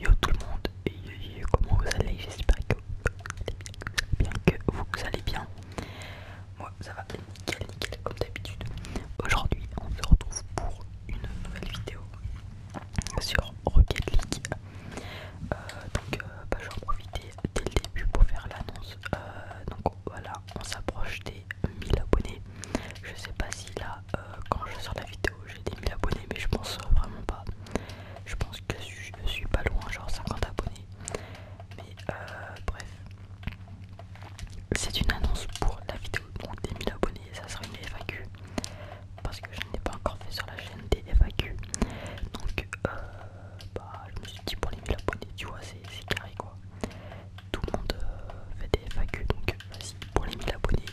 Yo tout le monde, comment vous allez J'espère que vous allez bien, que vous allez bien. Moi ça va nickel, nickel comme d'habitude. Aujourd'hui on se retrouve pour une nouvelle vidéo sur Rocket League. Euh, donc euh, bah, je vais en profiter dès le début pour faire l'annonce. Euh, donc voilà, on s'approche des 1000 abonnés. Je sais pas si là. Euh, quand je sors la vidéo, j'ai des 1000 abonnés, mais je pense vraiment pas. Je pense que je, suis pas loin, genre 50 abonnés. Mais euh, bref, c'est une annonce pour la vidéo donc des 1000 abonnés, ça sera une FAQ. Parce que je n'ai pas encore fait sur la chaîne des FAQ. Donc, euh, bah, je me suis dit pour les 1000 abonnés, tu vois, c'est carré quoi. Tout le monde fait des FAQ, donc vas-y, pour les 1000 abonnés,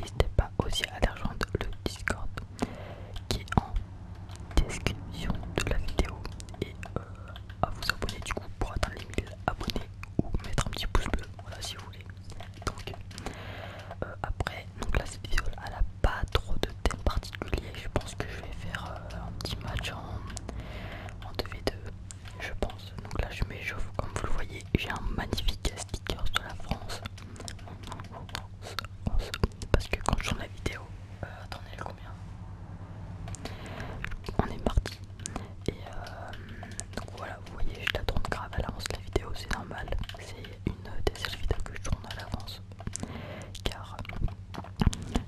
N'hésitez pas aussi à aller rejoindre le Discord qui est en description de la vidéo et euh, à vous abonner du coup pour atteindre les 1000 abonnés ou mettre un petit pouce bleu, voilà si vous voulez. Donc euh, après, donc là cette vidéo elle a pas trop de thèmes particulier, je pense que je vais faire euh, un petit match en, 2v2 je pense. Donc là je m'échauffe comme vous le voyez, j'ai un magnifique sticker de la France parce que quand je tourne la vidéo, euh, attendez, combien On est parti. Et euh, donc voilà, vous voyez, je la tourne grave à l'avance la vidéo, c'est normal. C'est une des seules vidéos que je tourne à l'avance. Car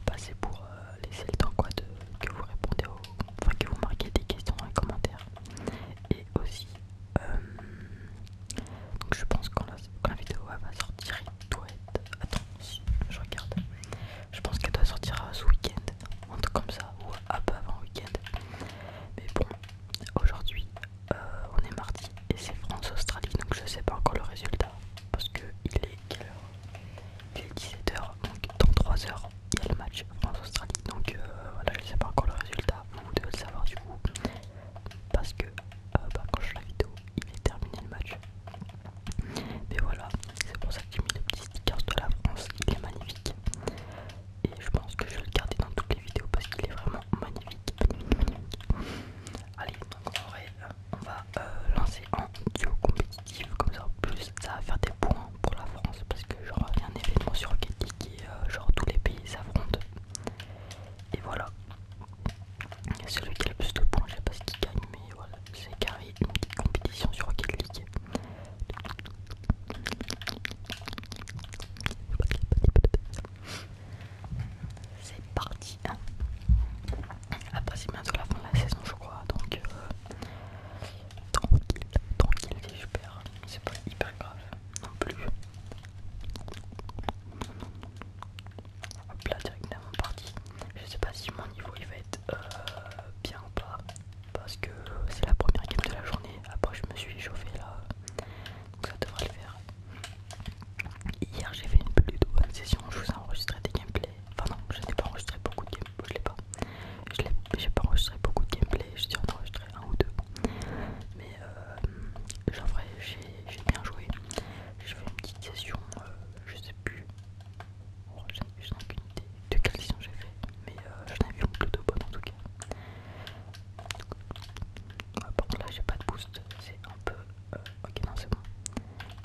bah, c'est pour euh, laisser le temps quoi, de, que vous répondez Enfin, que vous marquez des questions dans les commentaires. Et aussi euh, donc je pense que la, vidéo va sortir, il doit être. Attends, je regarde. Je pense qu'elle doit sortir ce week-end, un comme ça, ou un peu avant week-end. Mais bon, aujourd'hui, euh, on est mardi et c'est France-Australie, donc je sais pas encore le résultat parce que il est quelle heure Il est 17h, donc dans 3 h il y a le match. Australie. Donc euh, voilà, je ne sais pas encore le résultat, vous devez le savoir du coup. Parce que euh, bah, quand je fais la vidéo, il est terminé le match. Mais voilà, c'est pour ça que j'ai mis le petit sticker de la France, il est magnifique. Et je pense que je vais le garder dans toutes les vidéos parce qu'il est vraiment magnifique. Allez, on va euh, lancer en duo compétitif, comme ça en plus ça va faire des points pour la France parce que je rien rien sur Rocket qui est euh, genre tous les pays s'affrontent. Et voilà. Celui qui a le plus de points, je sais pas ce qu'il gagne, mais voilà, c'est carré une petite compétition sur Rocket League. C'est parti. Hein. Après c'est bientôt la fin de la saison je crois, donc euh, tranquille, tranquille c'est super, c'est pas hyper grave non plus. là, directement parti. Je sais pas si mon niveau il va être euh, bien ou pas. Parce que c'est la première game de la journée. Après, je me suis échauffé là. Donc ça devrait le faire. Hier, j'ai fait une plus bonne session. Je vous ai enregistré des gameplays. Enfin, non, je n'ai pas enregistré beaucoup de gameplay Je l'ai pas. Je n'ai pas enregistré beaucoup de gameplay. Je suis en enregistré un ou deux. Mais euh, j'ai bien joué. j'ai fait une petite session, euh, je sais plus. Oh, je n'ai aucune idée de quelle session j'ai fait, mais euh, je j'en ai vu une de bonne en tout cas. bon, ah, là j'ai pas de boost, c'est un peu. ok, non, c'est bon.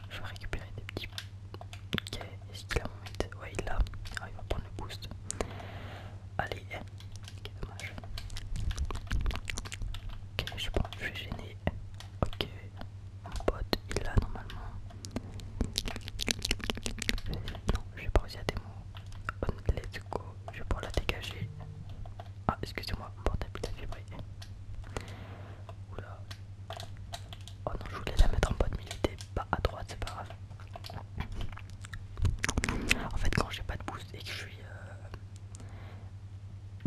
Je vais récupérer des petits. Ok, est-ce qu'il a mon Ouais, il l'a. Ah, il va prendre le boost. Allez, c'est dommage. Ok, je sais pas, je vais gêner. Ok, mon pote il est là normalement. Non, je vais pas y à des mots. Let's go, je vais pouvoir la dégager. Ah, excusez-moi, mon portable il a vibré. Oula. Oh non, je voulais la mettre en mais il était pas à droite, c'est pas grave. En fait, quand j'ai pas de boost et que je suis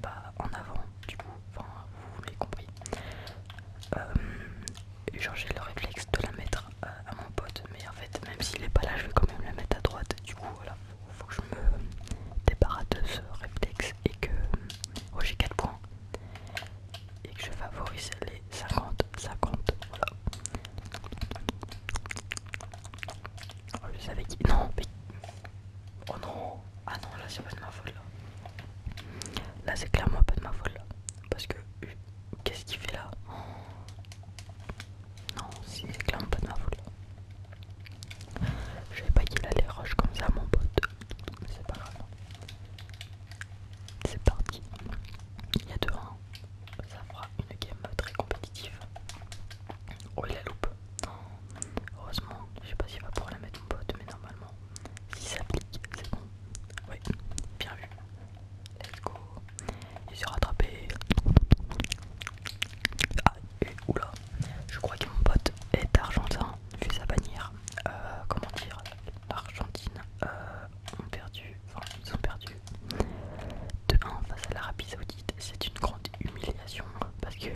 pas euh, bah, en avant, du coup, vous l'avez compris, euh, genre j'ai le réflexe de la mettre euh, à, mon pote, mais en fait, même s'il est pas là, je vais quand même la mettre à droite. Du coup, voilà, faut, que je me débarrasse de ce réflexe et que. Oh, j'ai 4 points et que je favorise les 50, 50, ça compte, voilà. Oh, je savais qui... Non, mais... Oh non Ah non, là c'est pas de ma folle là. Là c'est clairement pas de ma folle là. Parce que... Euh, qu'est-ce qu'il fait là Non, si c'est clairement pas de ma folle Je savais pas qu'il allait rush comme ça mon pote. Mais c'est pas grave. C'est parti. Il y a deux, hein ça fera une game très compétitive. Oh, il la loupe. Heureusement, je sais pas s'il va pouvoir la mettre mon pote, mais normalement, si ça applique, c'est bon. Oui, bien vu. Let's go. Il s'est rattrapé. Ah, oula. Je crois que mon pote est argentin, vu sa bannière. Euh, comment dire Argentine. Euh, ont perdu ils ont perdu de 1 face à l'Arabie Saoudite. C'est une grande humiliation parce que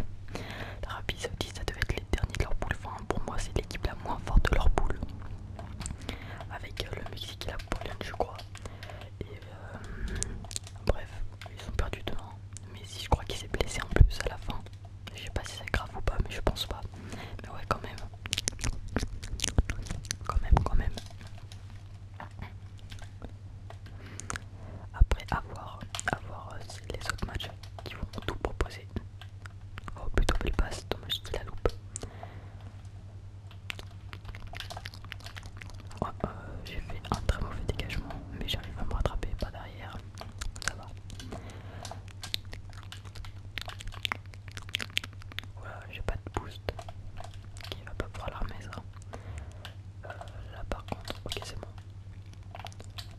l'Arabie Saoudite, ça devait être les derniers de leur boule. Enfin, pour moi, c'est l'équipe la moins forte de leur poule. Avec euh, le Mexique et la Pologne, je crois. Et euh, bref, ils ont perdu de 1. Mais si je crois qu'il s'est blessé en plus à la fin. Je sais pas si c'est grave ou pas, mais je pense pas. Mais ouais, quand même, quand même, quand même. Après avoir, avoir euh, les autres matchs qui vont tout proposer. Oh plutôt belle passe, je j'ai la loupe. Oh, euh, j'ai fait un très mauvais dégagement, mais j'arrive à me rattraper, pas derrière. Ça va. Voilà, j'ai pas de boost. Qui va pas pouvoir l'armer ça. Euh, là par contre, ok c'est bon.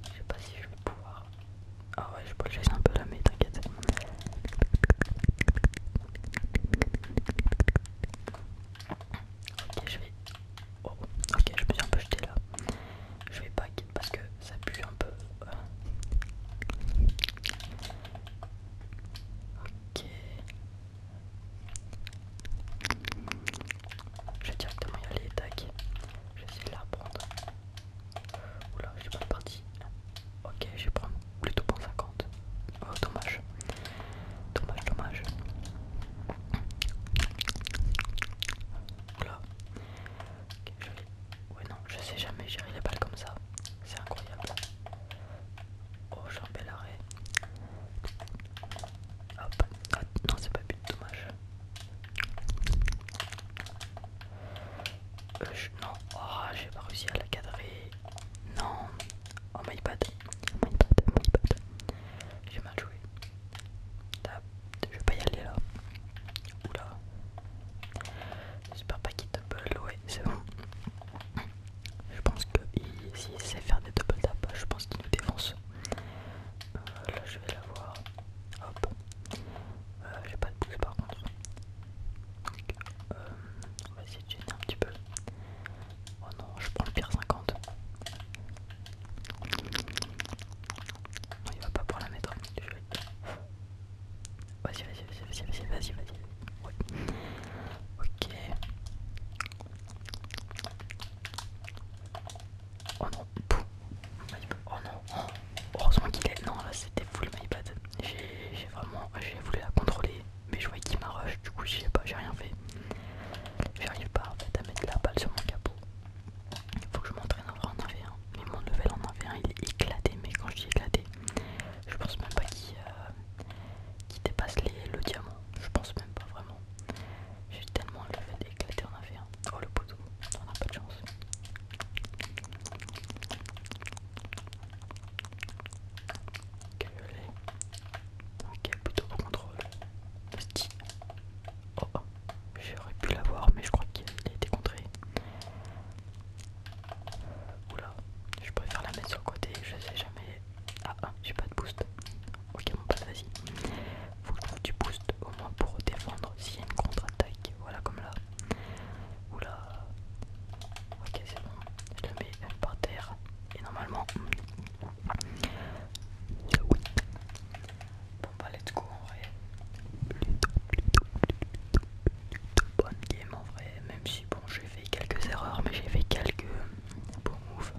Je sais pas si je vais pouvoir. Ah ouais, je peux le un peu là, mais t'inquiète. Ok, je vais. Oh, ok, je me suis un peu jeté là. Je vais pack parce que ça pue un peu. Ok. Je vais directement y aller, tac. Je vais essayer de la reprendre. Oula, j'ai pas parti. Ok, je vais prendre plutôt pour 50. Oh, dommage. Dommage, dommage. Oula. ok, Ouais non, je sais jamais gérer les balles comme ça. C'est incroyable. Oh, j'ai un bel arrêt. Hop. Ah, non, c'est pas but, dommage. Euh, non, oh, j'ai pas réussi à la cadrer. Non. Oh my bad. my bad, my bad. J'ai mal joué. Je vais pas y aller là. Oula. J'espère pas qu'il le louer c'est bon. Je pense que s'il sait faire des double tap, je pense qu'il nous défonce. Euh, là, je vais la voir Hop. Euh, j'ai pas de pouce par contre. Euh, on va essayer de gêner un petit peu. Oh non, je prends le pire 50. il va pas pouvoir la mettre. Vas-y, vas-y, vas-y, vas-y, vas-y, vas-y, vas-y. Ouais. Ok. Oh non, Oh non, oh. heureusement qu'il est. Non, là c'était full le bad. J'ai vraiment. J'ai voulu la contrôler, mais je voyais qu'il m'arrache, du coup, je sais pas, j'ai rien fait. J'arrive pas en fait à mettre la balle sur mon capot. Faut que je m'entraîne à en arrière mais mon level en avait il est éclaté, mais quand je dis éclaté, je pense même pas qu'il euh, dépasse le diamant, je pense même pas vraiment. J'ai tellement le fait d'éclater en avait Oh le poteau, on a pas de chance. Ok, le plutôt contrôle. Petit. Oh, oh, j'aurais pu l'avoir, mais je crois qu'il a été contré. Oula, je préfère la mettre sur le côté, je sais jamais. Ah, ah j'ai pas de boost. Ok, mon pote, vas-y. Faut que du boost au moins pour défendre s'il y a une contre-attaque. Voilà, comme là. Oula. Ok, c'est bon. Je le mets par terre. Et normalement. Hmm. Oui. Bon, bah, let's go en vrai une bonne game en vrai, même si bon j'ai fait quelques erreurs, mais j'ai fait quelques beaux moves.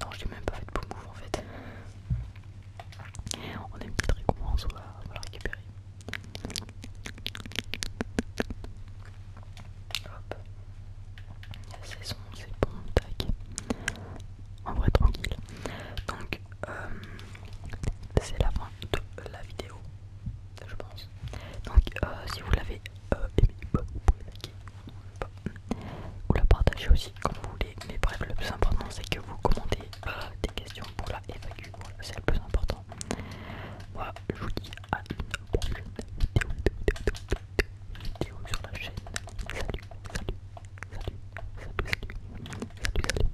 Non, j'ai même pas fait de beaux moves en fait. On a une petite récompense, on va, la récupérer. Hop, la saison, c'est bon, tac. En vrai, tranquille. Donc, euh, c'est la fin de la vidéo je pense donc euh, si vous l'avez euh, aimée, bah, vous pouvez bah, ou la partager aussi comme vous voulez mais bref le plus important c'est que vous commentez des questions pour la FAQ c'est le plus important voilà je vous dis à une prochaine vidéo, sur la chaîne salut salut salut salut salut salut